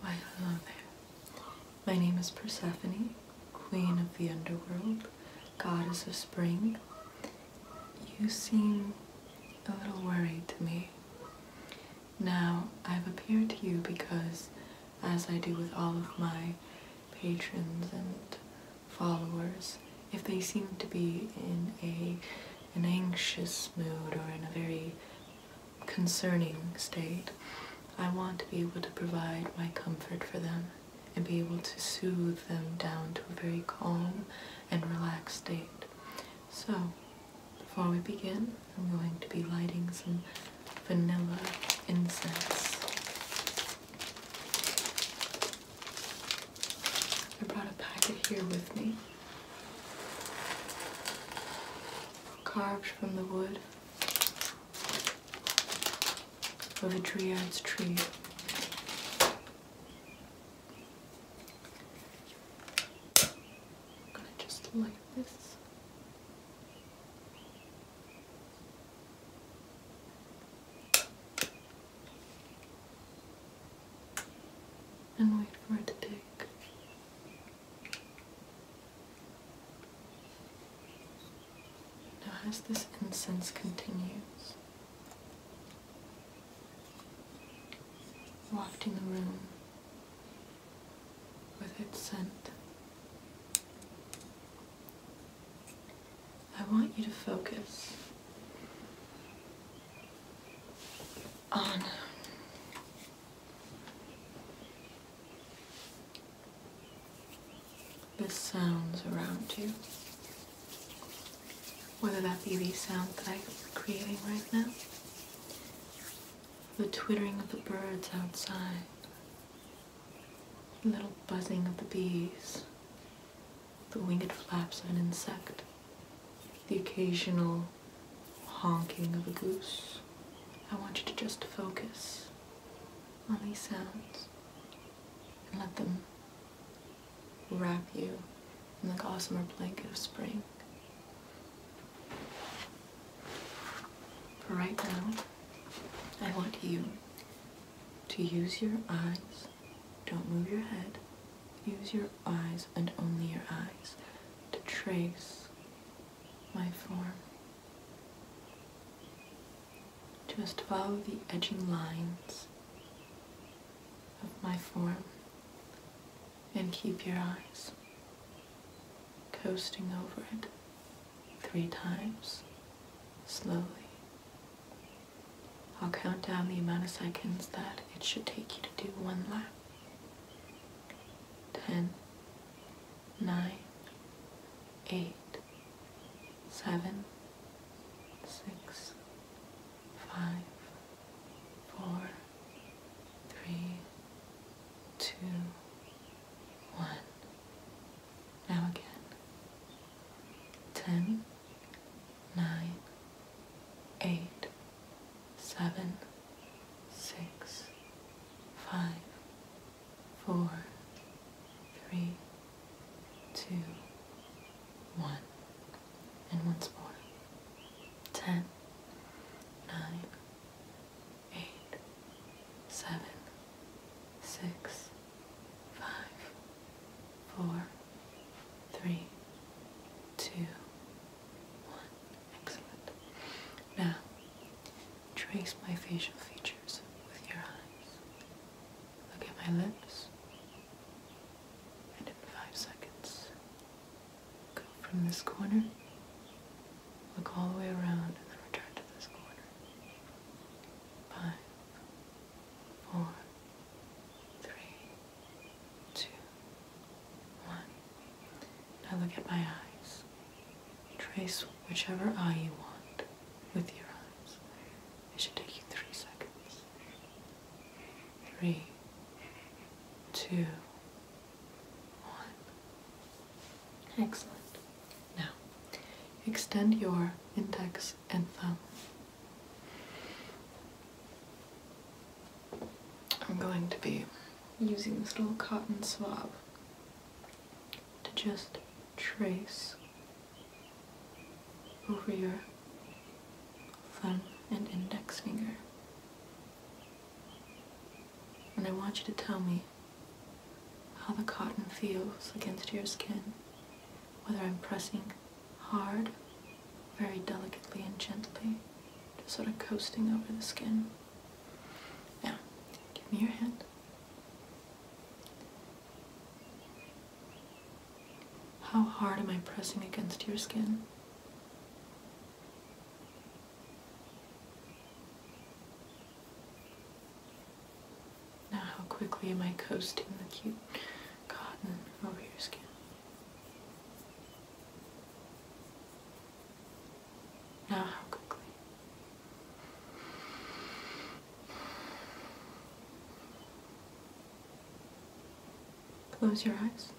Why hello My name is Persephone, queen of the underworld, goddess of spring. You seem a little worried to me. Now, I've appeared to you because, as I do with all of my patrons and followers, if they seem to be in a an anxious mood or in a very concerning state, I want to be able to provide my comfort for them and be able to soothe them down to a very calm and relaxed state. So, before we begin, I'm going to be lighting some vanilla incense. I brought a packet here with me carved from the wood of a dryad's tree. I'm gonna just light this. And wait for it to take now, as this incense continues, wafting the room with its scent, I want you to focus on the sounds around you, whether that be the sound that I'm creating right now, the twittering of the birds outside, the little buzzing of the bees, the winged flaps of an insect, the occasional honking of a goose. I want you to just focus on these sounds and let them wrap you in the gossamer blanket of spring. For right now, I want you to use your eyes. Don't move your head. Use your eyes and only your eyes to trace my form. Just follow the edging lines of my form and keep your eyes coasting over it three times slowly. I'll count down the amount of seconds that it should take you to do one lap. 10, nine, eight, seven, six, five, four, three, two, one. Now again. Ten, nine, eight, seven six, five, four, three, two, one. And once more. Ten, nine, eight, seven, six, five, four, three, two, one. Excellent. Now, Trace my facial features with your eyes. Look at my lips. And in five seconds, go from this corner, look all the way around, and then return to this corner. Five, four, three, two, one. Now look at my eyes. Trace whichever eye you want with your eyes. It should take you three seconds. Three, two, one. Excellent. Now, extend your index and thumb. I'm going to be using this little cotton swab to just trace over your thumb and index finger. And I want you to tell me how the cotton feels against your skin, whether I'm pressing hard, very delicately and gently, just sort of coasting over the skin. Now, give me your hand. How hard am I pressing against your skin? Now, how quickly am I coasting the cute cotton over your skin? Now how quickly? Close your eyes.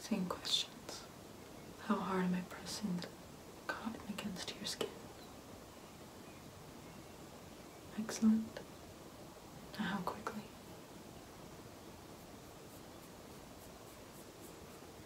Same questions. How hard am I pressing the cotton against your skin? Excellent. Now how quickly?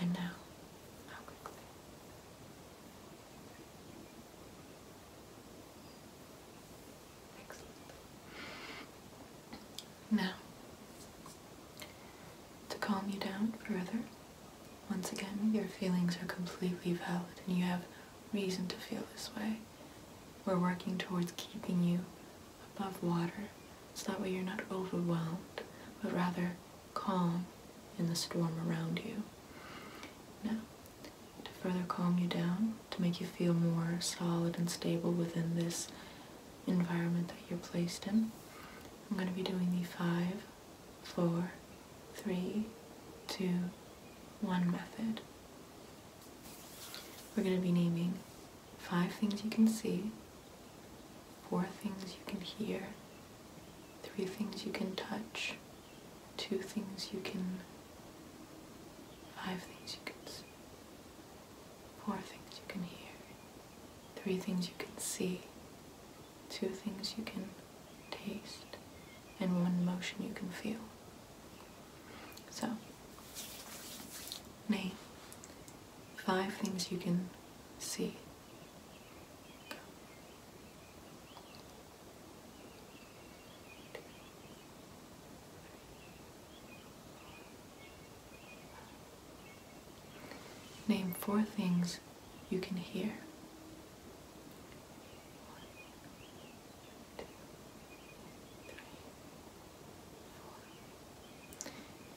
And now. Excellent. Now, to calm you down further, once again, your feelings are completely valid and you have reason to feel this way. We're working towards keeping you above water so that way you're not overwhelmed, but rather calm in the storm around you. Now, to further calm you down, to make you feel more solid and stable within this environment that you're placed in, I'm going to be doing the five, four, three, two, one method. We're going to be naming five things you can see four things you can hear, three things you can touch, two things you can, five things you can see, four things you can hear, three things you can see, two things you can taste, and one motion you can feel. So, name five things you can see. Name four things you can hear.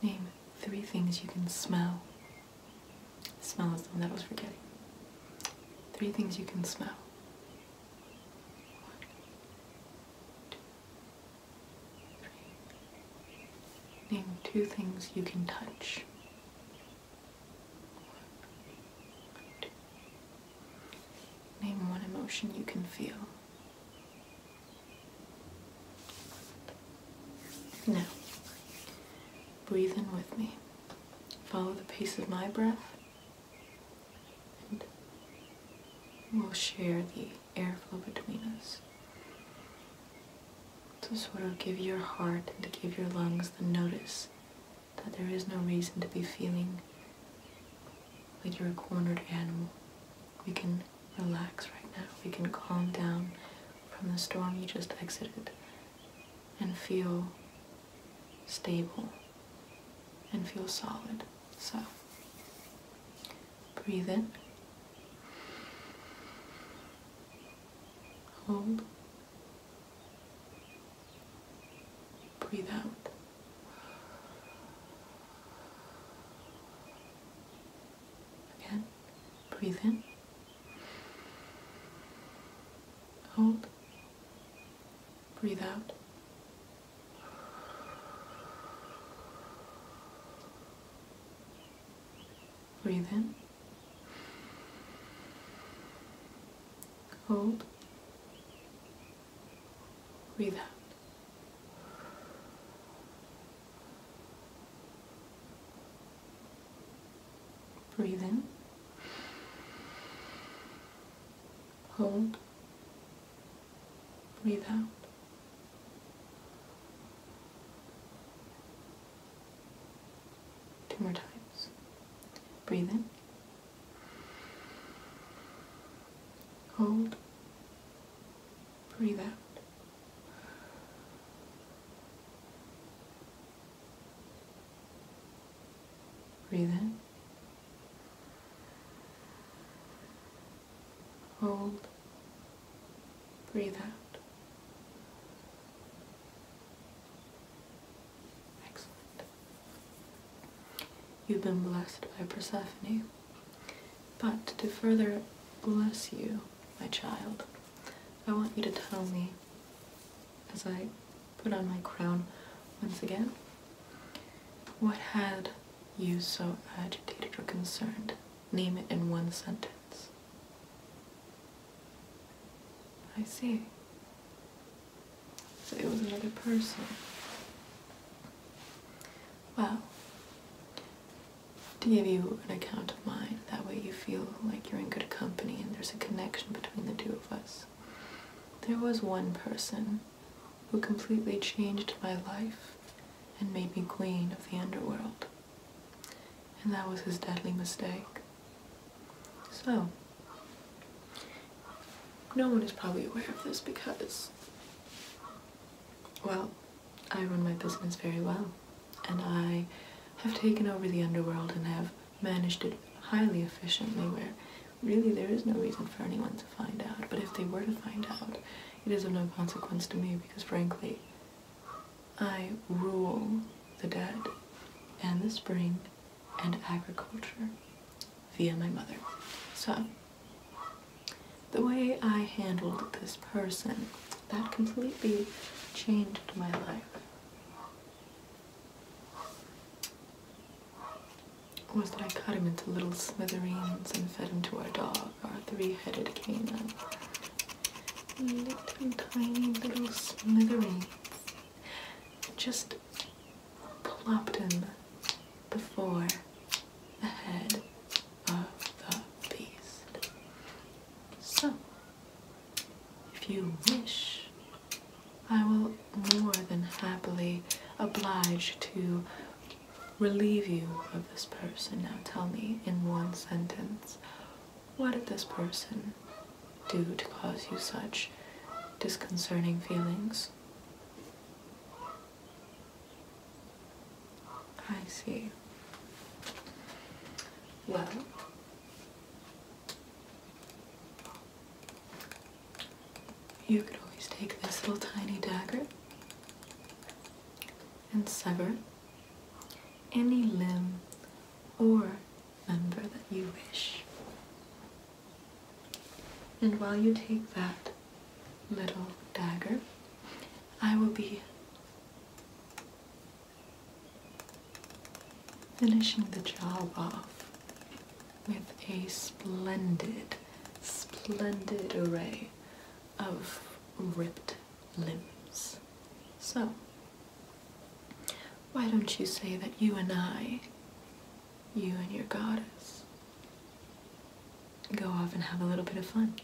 Name three things you can smell. Smell is the one that I was forgetting. Three things you can smell. One, two, three. Name two things you can touch. One, two. Name one emotion you can feel. Now, breathe in with me. Follow the pace of my breath, and we'll share the airflow between us to sort of give your heart and to give your lungs the notice that there is no reason to be feeling like you're a cornered animal. We can relax right now. We can calm down from the storm you just exited and feel stable and feel solid. So breathe in, hold, breathe out. Again, breathe in. Hold. Breathe out. Breathe in. Hold. Breathe out. Breathe in. Hold. Breathe out. Two more times. Breathe in. Hold. Breathe out. Breathe in. Hold. Breathe out. Excellent. You've been blessed by Persephone. But to further bless you, my child, I want you to tell me as I put on my crown once again what had you so agitated or concerned. Name it in one sentence. I see. So it was another person. Well, to give you an account of mine. That way you feel like you're in good company and there's a connection between the two of us. There was one person who completely changed my life and made me queen of the underworld. And that was his deadly mistake. So, no one is probably aware of this because, well, I run my business very well, and I have taken over the underworld and have managed it highly efficiently where really there is no reason for anyone to find out. But if they were to find out, it is of no consequence to me because frankly, I rule the dead and the spring and agriculture via my mother. So, the way I handled this person that completely changed my life was that I cut him into little smithereens and fed him to our dog, our three-headed canine. Little tiny little smithereens. Just plopped him before the head of the beast. So, if you wish, I will more than happily oblige to relieve you of this person. Now tell me in one sentence, what did this person do to cause you such disconcerting feelings? I see. Well, you could always take this little tiny dagger and sever any limb or member that you wish. And while you take that little dagger, I will be Finishing the job off with a splendid, splendid array of ripped limbs. So, why don't you say that you and I, you and your goddess, go off and have a little bit of fun?